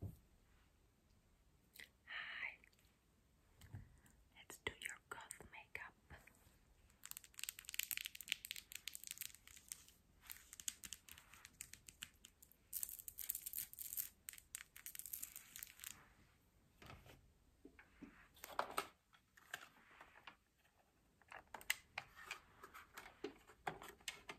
Hi. Let's do your goth makeup.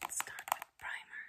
Let's start with primer.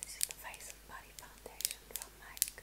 This is the Face and Body Foundation from MAC.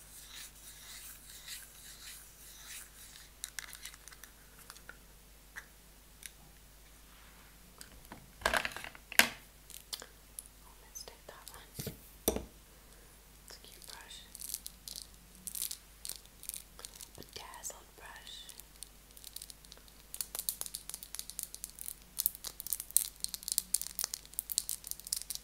Almost did that one. It's a cute brush. Bedazzled brush.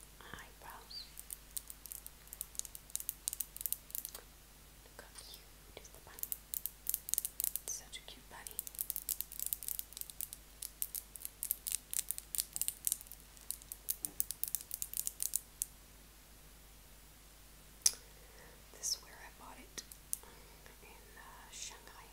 Eyebrows. Look how cute is the bunny. Such a cute bunny. Eyebrows. This is where I bought it in uh, Shanghai.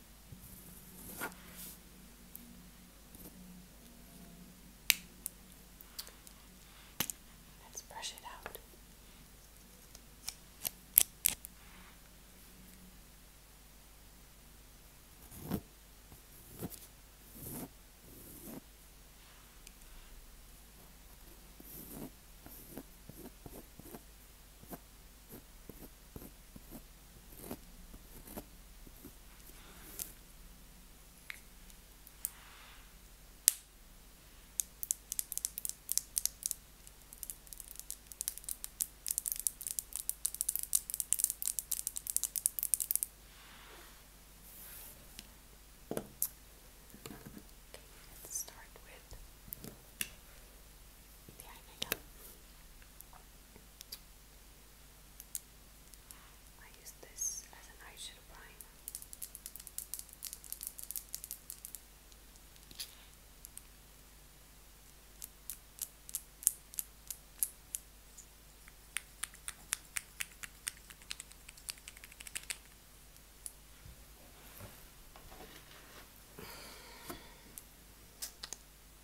Let's brush it out let's start with the eye I use this as an eyeshadow primer.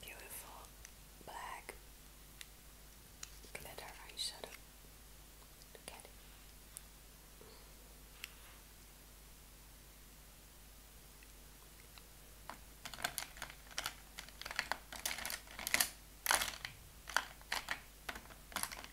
Beautiful black glitter eyeshadow. Look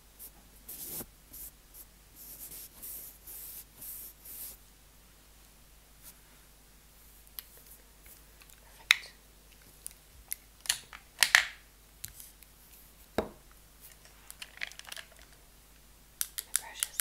Perfect. My brushes.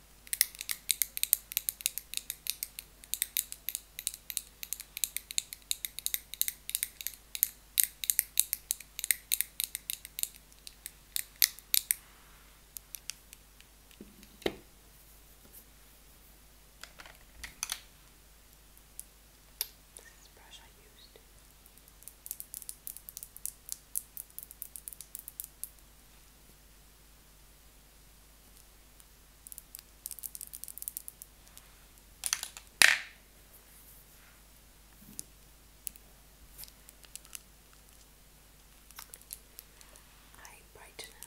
This is the brush I used. Okay. I brighten up.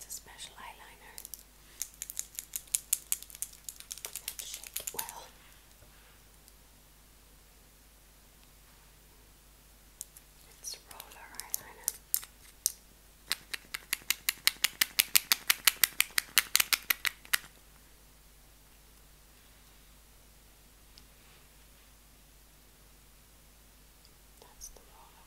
It's a special eyeliner. shake it well. It's roller eyeliner. That's the roller.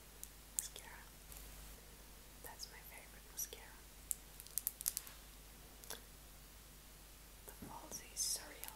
mascara. That's my favorite mascara. The falls is surreal.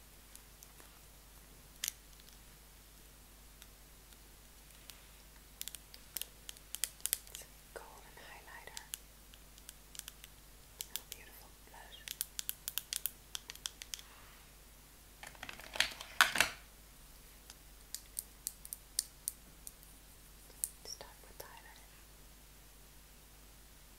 It's a golden highlighter and a beautiful blush. Start with highlighter.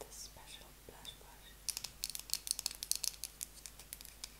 This special blush brush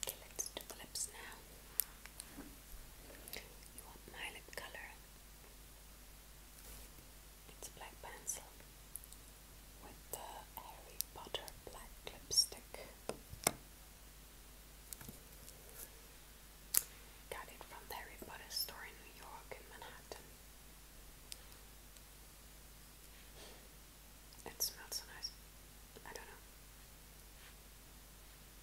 Okay, let's do the lips now. You want my lip color? It's black pencil with the Harry Potter black lipstick. Got it from Harry Potter store in New York in Manhattan. It smells so nice. I don't know.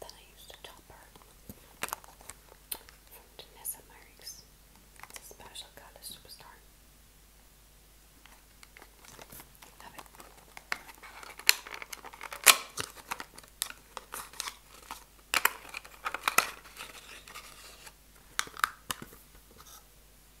Then I used a topper from Vanessa Marks. special color superstar. Love it.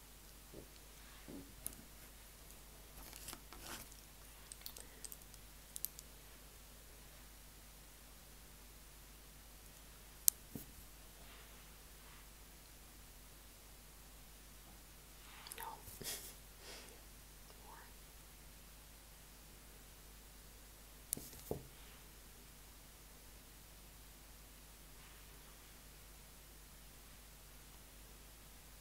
No. More.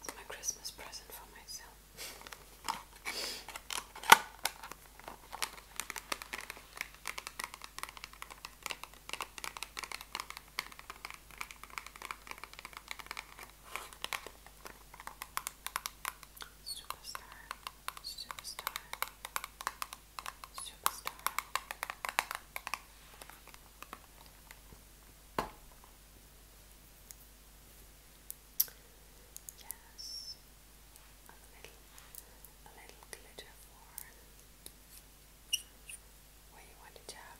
It's my Christmas present for myself. Superstar, superstar, superstar. Yes, a little, a little glitter for where you want to tap.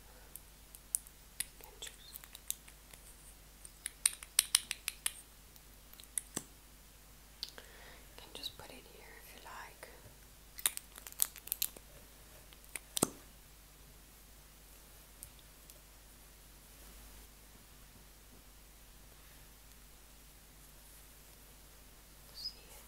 You can choose. You can just put it here if you like. See it.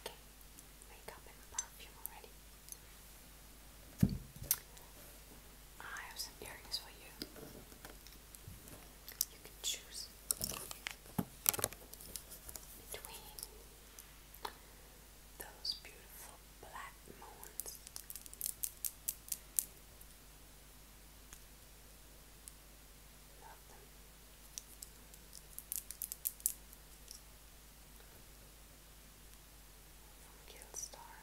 Okay, makeup and perfume already. I have some earrings for you. You can choose between those beautiful black moons from Guildstar.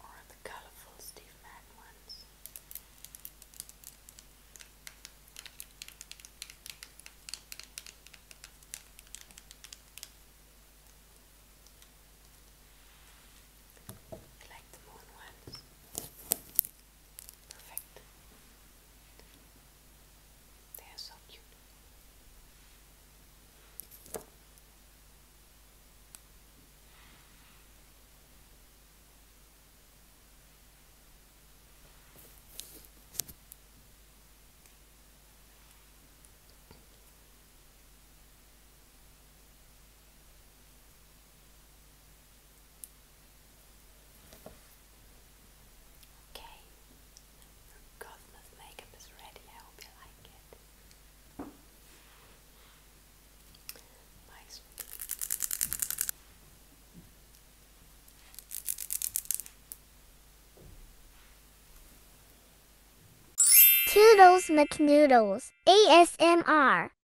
Or the colorful Steve Madden ones. I like the moon ones. Perfect. They are so cute. Okay, Cosmos makeup is ready. I hope you like it. Bye, sweetie. Toodles McNoodles ASMR